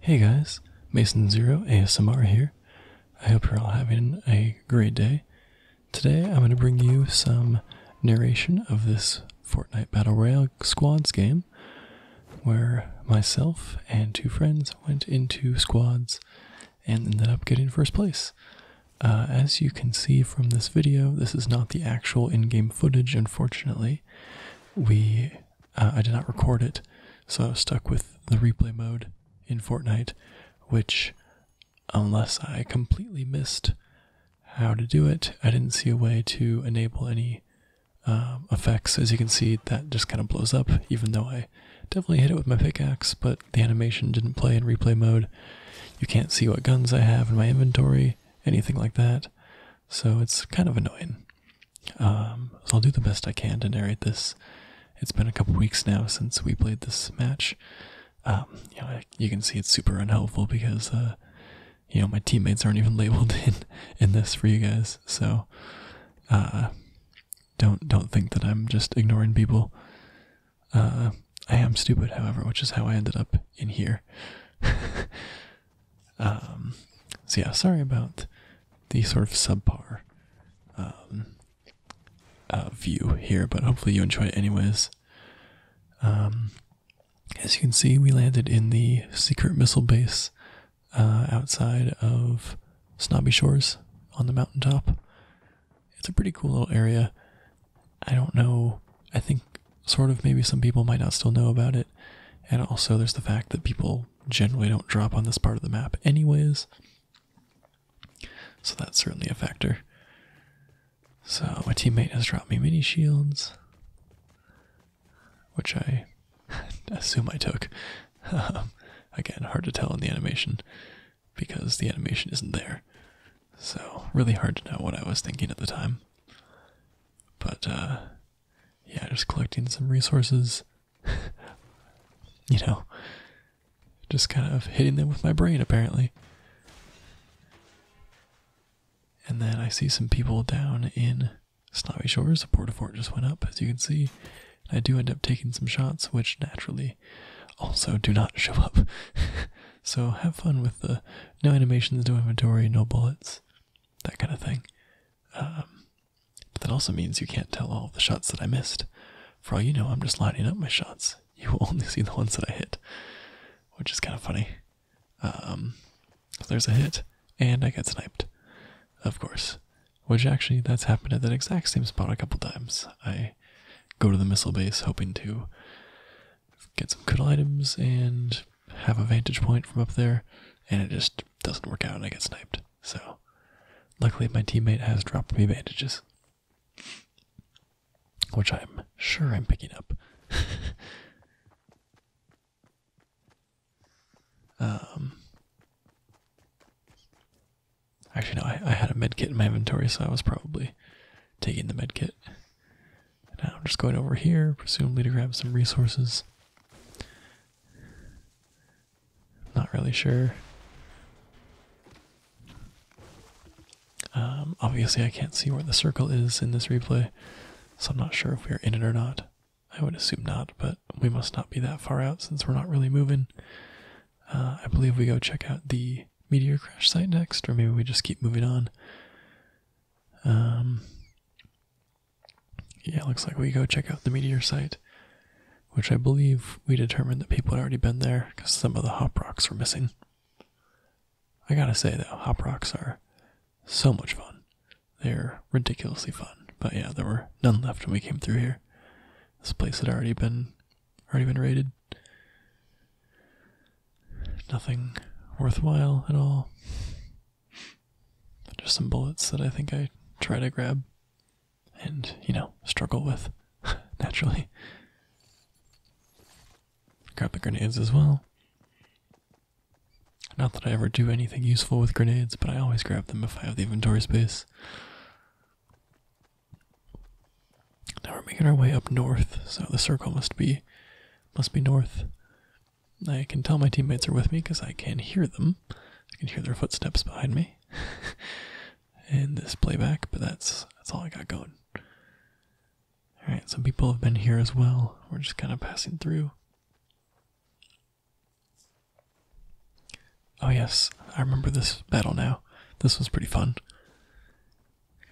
Hey guys, Mason Zero ASMR here. I hope you're all having a great day. Today I'm going to bring you some narration of this Fortnite Battle Royale Squads game where myself and two friends went into squads and ended up getting first place. Uh, as you can see from this video, this is not the actual in-game footage, unfortunately. We, uh, I did not record it, so I stuck with the replay mode in Fortnite, which, unless I completely missed how to do it, I didn't see a way to enable any um, effects. As you can see, that just kind of blows up, even though I definitely hit it with my pickaxe, but the animation didn't play in replay mode. You can't see what guns I have in my inventory, anything like that. So it's kind of annoying. Um, so I'll do the best I can to narrate this. It's been a couple weeks now since we played this match. Um, you, know, you can see it's super unhelpful because, uh, you know, my teammates aren't even labeled in in this for you guys. So, uh, don't don't think that I'm just ignoring people. Uh, I am stupid, however, which is how I ended up in here. Um, so yeah, sorry about the sort of subpar um, uh, view here, but hopefully you enjoy it anyways. Um, as you can see, we landed in the secret missile base uh, outside of Snobby Shores on the mountaintop. It's a pretty cool little area. I don't know. I think sort of maybe some people might not still know about it. And also, there's the fact that people generally don't drop on this part of the map, anyways. So that's certainly a factor. So, my teammate has dropped me mini shields which I assume I took. Um, again, hard to tell in the animation because the animation isn't there. So, really hard to know what I was thinking at the time. But, uh, yeah, just collecting some resources. you know, just kind of hitting them with my brain, apparently. And then I see some people down in Snobby Shores, the port of fort just went up, as you can see. I do end up taking some shots, which naturally also do not show up. so have fun with the no animations, no inventory, no bullets, that kind of thing. Um, but that also means you can't tell all the shots that I missed. For all you know, I'm just lining up my shots. You will only see the ones that I hit, which is kind of funny. Um, so there's a hit, and I get sniped. Of course. Which actually, that's happened at that exact same spot a couple times. I go to the missile base hoping to get some good items and have a vantage point from up there, and it just doesn't work out and I get sniped. So, luckily, my teammate has dropped me bandages. Which I'm sure I'm picking up. Um, actually, no, I, I had a med kit in my inventory, so I was probably taking the med kit. Now I'm just going over here, presumably to grab some resources. Not really sure. Um, obviously, I can't see where the circle is in this replay, so I'm not sure if we're in it or not. I would assume not, but we must not be that far out since we're not really moving. Uh, I believe we go check out the meteor crash site next, or maybe we just keep moving on. Um, yeah, looks like we go check out the meteor site, which I believe we determined that people had already been there because some of the hop rocks were missing. I gotta say though, hop rocks are so much fun. They're ridiculously fun. But yeah, there were none left when we came through here. This place had already been already been raided. Nothing worthwhile at all. Just some bullets that I think I try to grab and, you know, struggle with naturally. Grab the grenades as well. Not that I ever do anything useful with grenades, but I always grab them if I have the inventory space. Now we're making our way up north, so the circle must be must be north. I can tell my teammates are with me because I can hear them. I can hear their footsteps behind me. and this playback, but that's that's all I got going. Alright, some people have been here as well. We're just kind of passing through. Oh, yes, I remember this battle now. This was pretty fun.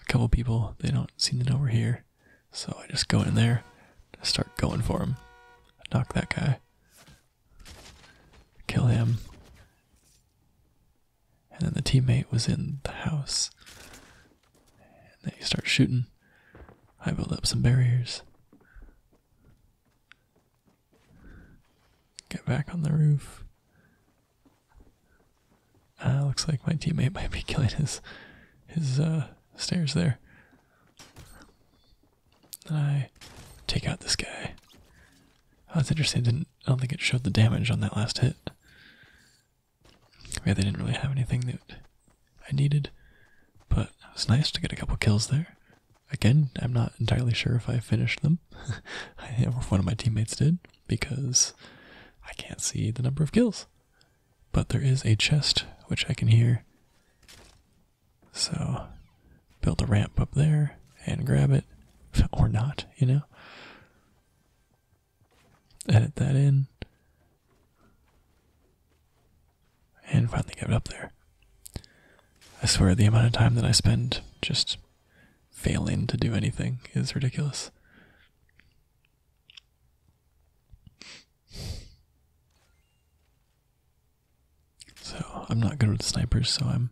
A couple people, they don't seem to know we're here, so I just go in there, start going for him. Knock that guy, kill him. And then the teammate was in the house, and they start shooting. I build up some barriers. Get back on the roof. Ah, looks like my teammate might be killing his his uh, stairs there. I take out this guy. Oh, that's interesting. Didn't I don't think it showed the damage on that last hit. Yeah, they didn't really have anything new. I needed, but it was nice to get a couple kills there. Again, I'm not entirely sure if I finished them. I or one of my teammates did, because I can't see the number of kills. But there is a chest which I can hear. So build a ramp up there and grab it. Or not, you know? Edit that in and finally give it up there. I swear the amount of time that I spend just failing to do anything is ridiculous. So I'm not good with snipers, so I'm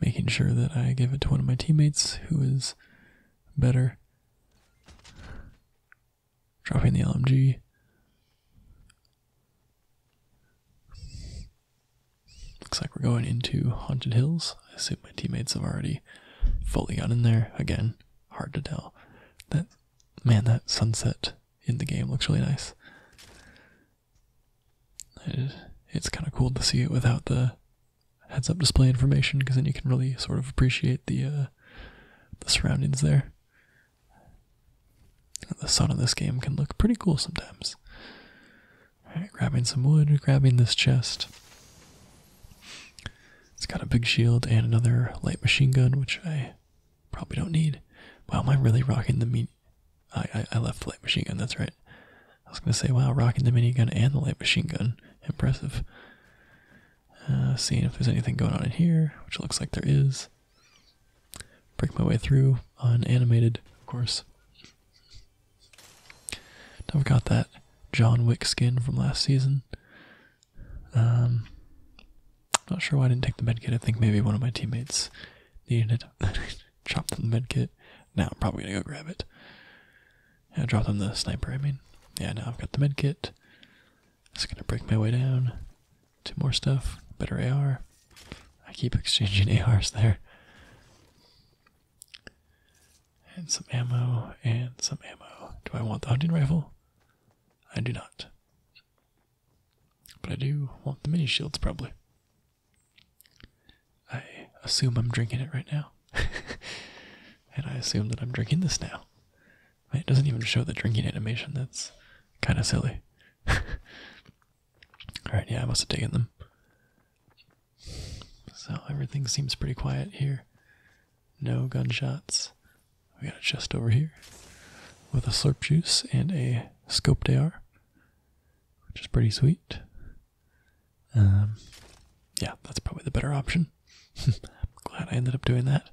making sure that I give it to one of my teammates who is better. Dropping the LMG. Looks like we're going into Haunted Hills. I assume my teammates have already fully gotten in there. Again, hard to tell. That man, that sunset in the game looks really nice. It's kind of cool to see it without the heads-up display information because then you can really sort of appreciate the uh, the surroundings there. The sun in this game can look pretty cool sometimes. Alright, grabbing some wood, grabbing this chest. It's got a big shield and another light machine gun, which I probably don't need. Wow, am I really rocking the meat? I, I left the light machine gun, that's right. I was gonna say, wow, rocking the minigun and the light machine gun. Impressive. Uh, seeing if there's anything going on in here, which looks like there is. Break my way through, unanimated, of course. Never got that John Wick skin from last season. Um, not sure why I didn't take the medkit. I think maybe one of my teammates needed it. Chopped them the medkit. Now I'm probably gonna go grab it. Yeah, dropped them the sniper, I mean. Yeah, now I've got the medkit. It's gonna break my way down to more stuff, better AR. I keep exchanging ARs there. And some ammo, and some ammo. Do I want the hunting rifle? I do not. But I do want the mini shields, probably. I assume I'm drinking it right now. and I assume that I'm drinking this now. It doesn't even show the drinking animation. That's kind of silly. Alright, yeah, I must have taken them. So everything seems pretty quiet here. No gunshots. We got a chest over here with a slurp juice and a scoped AR, which is pretty sweet. Um, yeah, that's probably the better option. I'm glad I ended up doing that.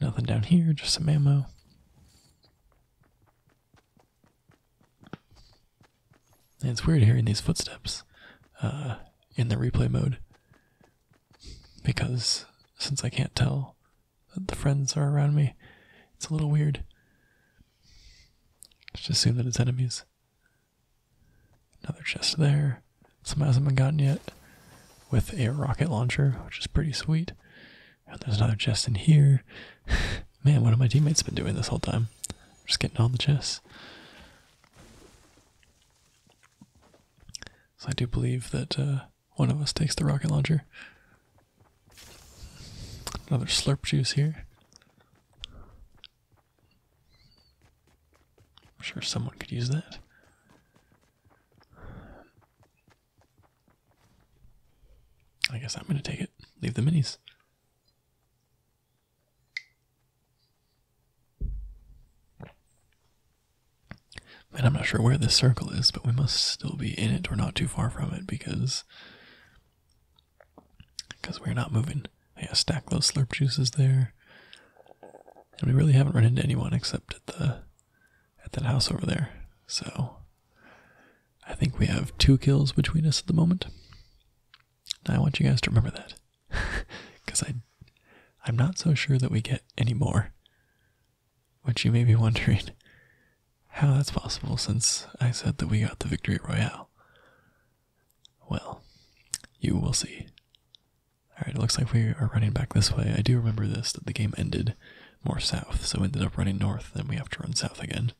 Nothing down here, just some memo. And it's weird hearing these footsteps uh, in the replay mode because since I can't tell that the friends are around me, it's a little weird. Let's assume that it's enemies. Another chest there. Some hasn't gotten yet with a rocket launcher, which is pretty sweet. there's another chest in here. Man, what have my teammates been doing this whole time? Just getting all the chests. So I do believe that uh, one of us takes the rocket launcher. Another slurp juice here. I'm sure someone could use that. I guess I'm going to take it. Leave the minis. Man, I'm not sure where this circle is, but we must still be in it or not too far from it because because we're not moving. I stack those slurp juices there. And we really haven't run into anyone except at the at that house over there. So I think we have two kills between us at the moment. And I want you guys to remember that. Cause I I'm not so sure that we get any more. Which you may be wondering how that's possible since I said that we got the victory royale. Well, you will see. Alright, it looks like we are running back this way. I do remember this, that the game ended more south, so ended up running north, then we have to run south again.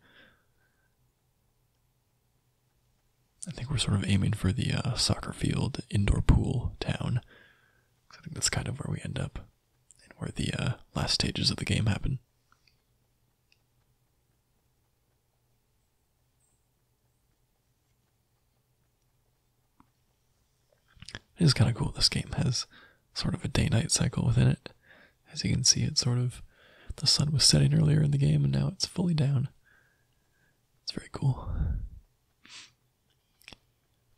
I think we're sort of aiming for the uh, soccer field, indoor pool town. I think that's kind of where we end up, and where the uh, last stages of the game happen. It is kind of cool. This game has sort of a day night cycle within it. As you can see, it's sort of the sun was setting earlier in the game and now it's fully down. It's very cool.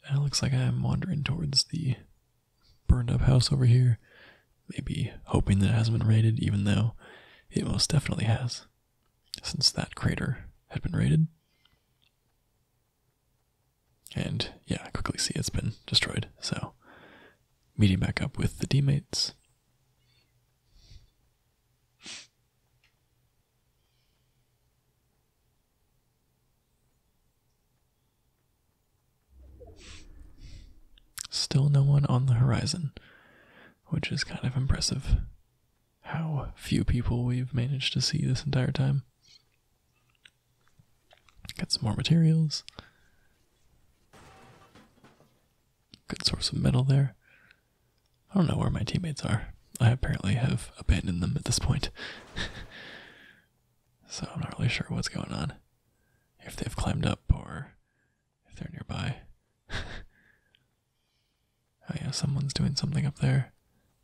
it looks like I'm wandering towards the burned up house over here maybe hoping that it hasn't been raided, even though it most definitely has, since that crater had been raided. And yeah, quickly see it's been destroyed, so meeting back up with the teammates. Still no one on the horizon which is kind of impressive. How few people we've managed to see this entire time. Got some more materials. Good source of metal there. I don't know where my teammates are. I apparently have abandoned them at this point. so I'm not really sure what's going on. If they've climbed up or if they're nearby. oh, yeah, someone's doing something up there.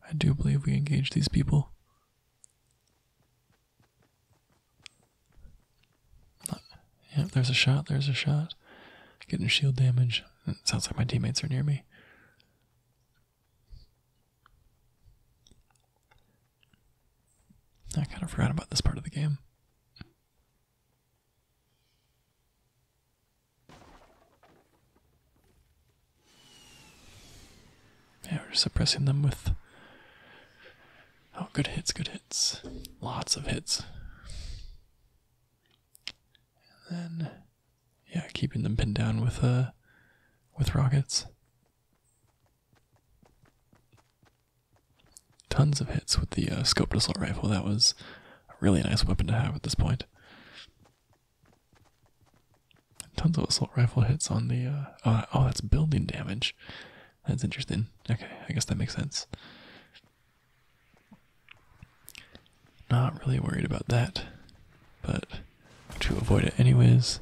I do believe we engage these people. Yeah, there's a shot, there's a shot. Getting shield damage. sounds like my teammates are near me. I kind of forgot about this part of the game. Yeah, we're suppressing them with. Oh, good hits, good hits. Lots of hits. And then, yeah, keeping them pinned down with uh, with rockets tons of hits with the uh, scoped assault rifle. That was a really nice weapon to have at this point. Tons of assault rifle hits on the. Uh, oh, oh, that's building damage. That's interesting. Okay, I guess that makes sense. Not really worried about that, but to avoid it anyways.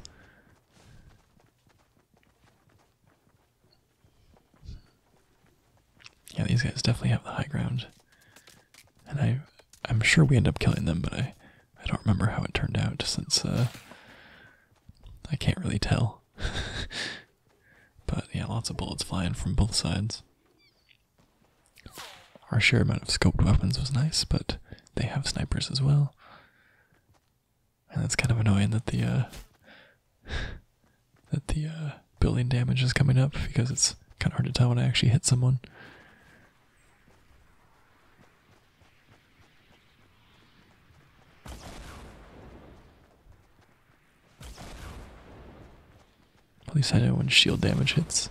Yeah, these guys definitely have the high ground. And I I'm sure we end up killing them, but I I don't remember how it turned out since uh, I can't really tell. but yeah, lots of bullets flying from both sides. Our sheer amount of scoped weapons was nice, but they have snipers as well. And that's kind of annoying that the uh, that the uh, building damage is coming up because it's kinda hard to tell when I actually hit someone. At least I know when shield damage hits.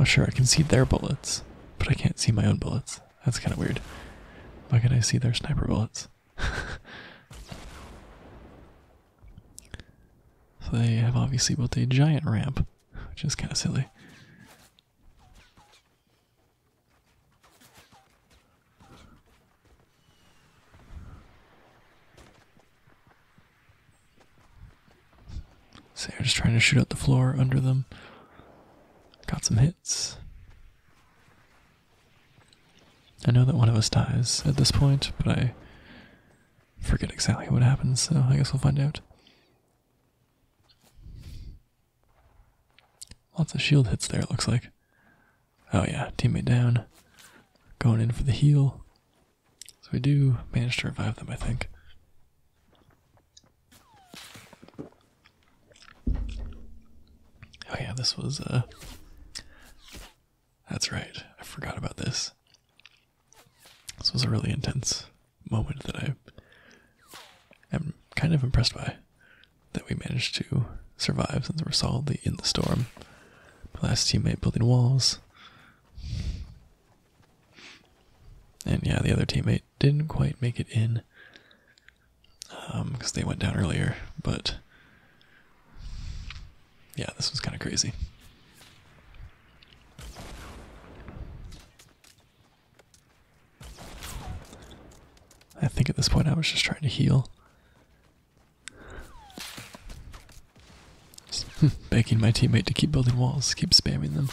Oh sure, I can see their bullets, but I can't see my own bullets. That's kind of weird. Why can I see their sniper bullets? so they have obviously built a giant ramp, which is kind of silly. So they're just trying to shoot out the floor under them. Got some hits. I know that one of us dies at this point, but I forget exactly what happens, so I guess we'll find out. Lots of shield hits there, it looks like. Oh, yeah, teammate down. Going in for the heal. So we do manage to revive them, I think. Oh yeah, this was uh, That's right. I forgot about this. This was a really intense moment that I am kind of impressed by that we managed to survive since we're solidly in the storm. My last teammate building walls. And yeah, the other teammate didn't quite make it in because um, they went down earlier but yeah this was kind of crazy I think at this point I was just trying to heal. begging my teammate to keep building walls, keep spamming them.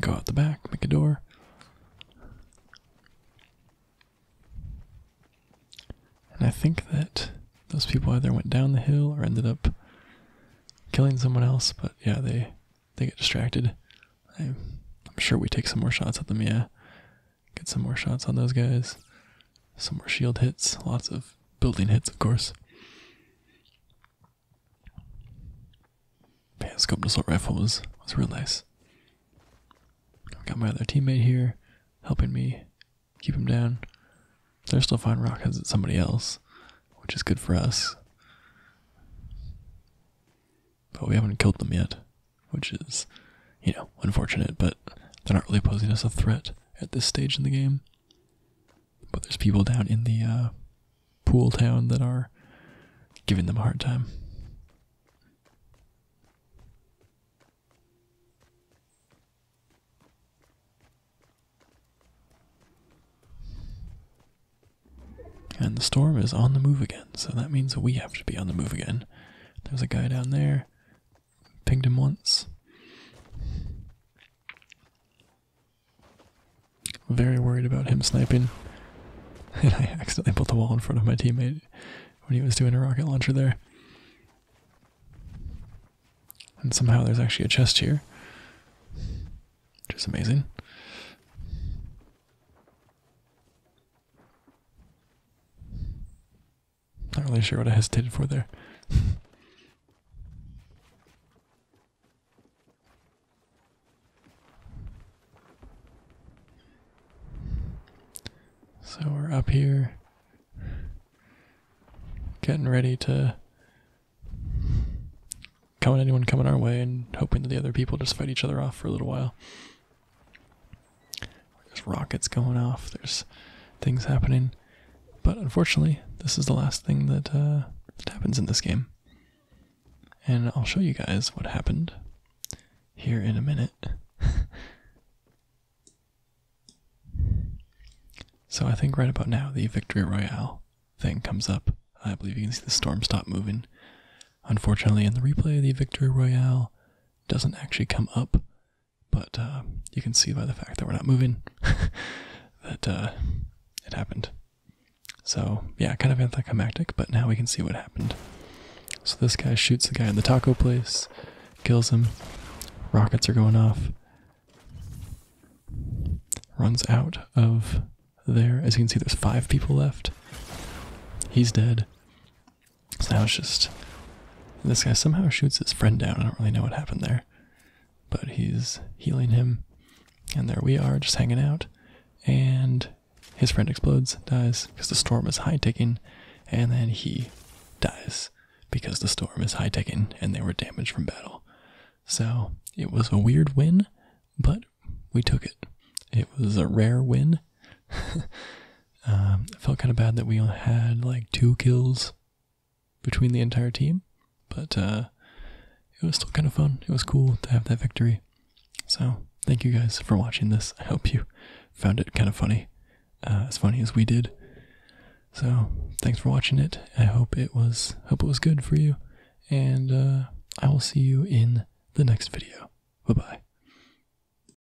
Go out the back, make a door. And I think that those people either went down the hill or ended up killing someone else, but yeah, they they get distracted. I, am sure we take some more shots at them, yeah. Get some more shots on those guys. Some more shield hits. Lots of building hits, of course. Man, scope assault rifle was was real nice. I've got my other teammate here, helping me keep him down. They're still finding rockets at somebody else, which is good for us. But we haven't killed them yet, which is, you know, unfortunate. But they're not really posing us a threat at this stage in the game. But there's people down in the uh, pool town that are giving them a hard time. And the storm is on the move again, so that means we have to be on the move again. There's a guy down there pinged him once. Very worried about him sniping. And I accidentally put the wall in front of my teammate when he was doing a rocket launcher there. And somehow there's actually a chest here. Which is amazing. Not really sure what I hesitated for there. so we're up here, getting ready to come anyone coming our way and hoping that the other people just fight each other off for a little while. There's rockets going off, there's things happening. But unfortunately, this is the last thing that, uh, that happens in this game. And I'll show you guys what happened here in a minute. so I think right about now, the Victory Royale thing comes up. I believe you can see the storm stop moving. Unfortunately, in the replay, the Victory Royale doesn't actually come up but uh, you can see by the fact that we're not moving that uh, it happened. So, yeah, kind of anticlimactic, but now we can see what happened. So, this guy shoots the guy in the taco place, kills him, rockets are going off, runs out of there. As you can see, there's five people left. He's dead. So now it's just. This guy somehow shoots his friend down. I don't really know what happened there. But he's healing him. And there we are, just hanging out. And his friend explodes, dies, because the storm is high ticking. And then he dies, because the storm is high ticking and they were damaged from battle. So it was a weird win, but we took it. It was a rare win, um, I felt kind of bad that we only had like two kills between the entire team, but uh, it was still kind of fun. It was cool to have that victory. So thank you guys for watching this. I hope you found it kind of funny, uh, as funny as we did. So thanks for watching it. I hope it was hope it was good for you, and uh, I will see you in the next video. Bye bye.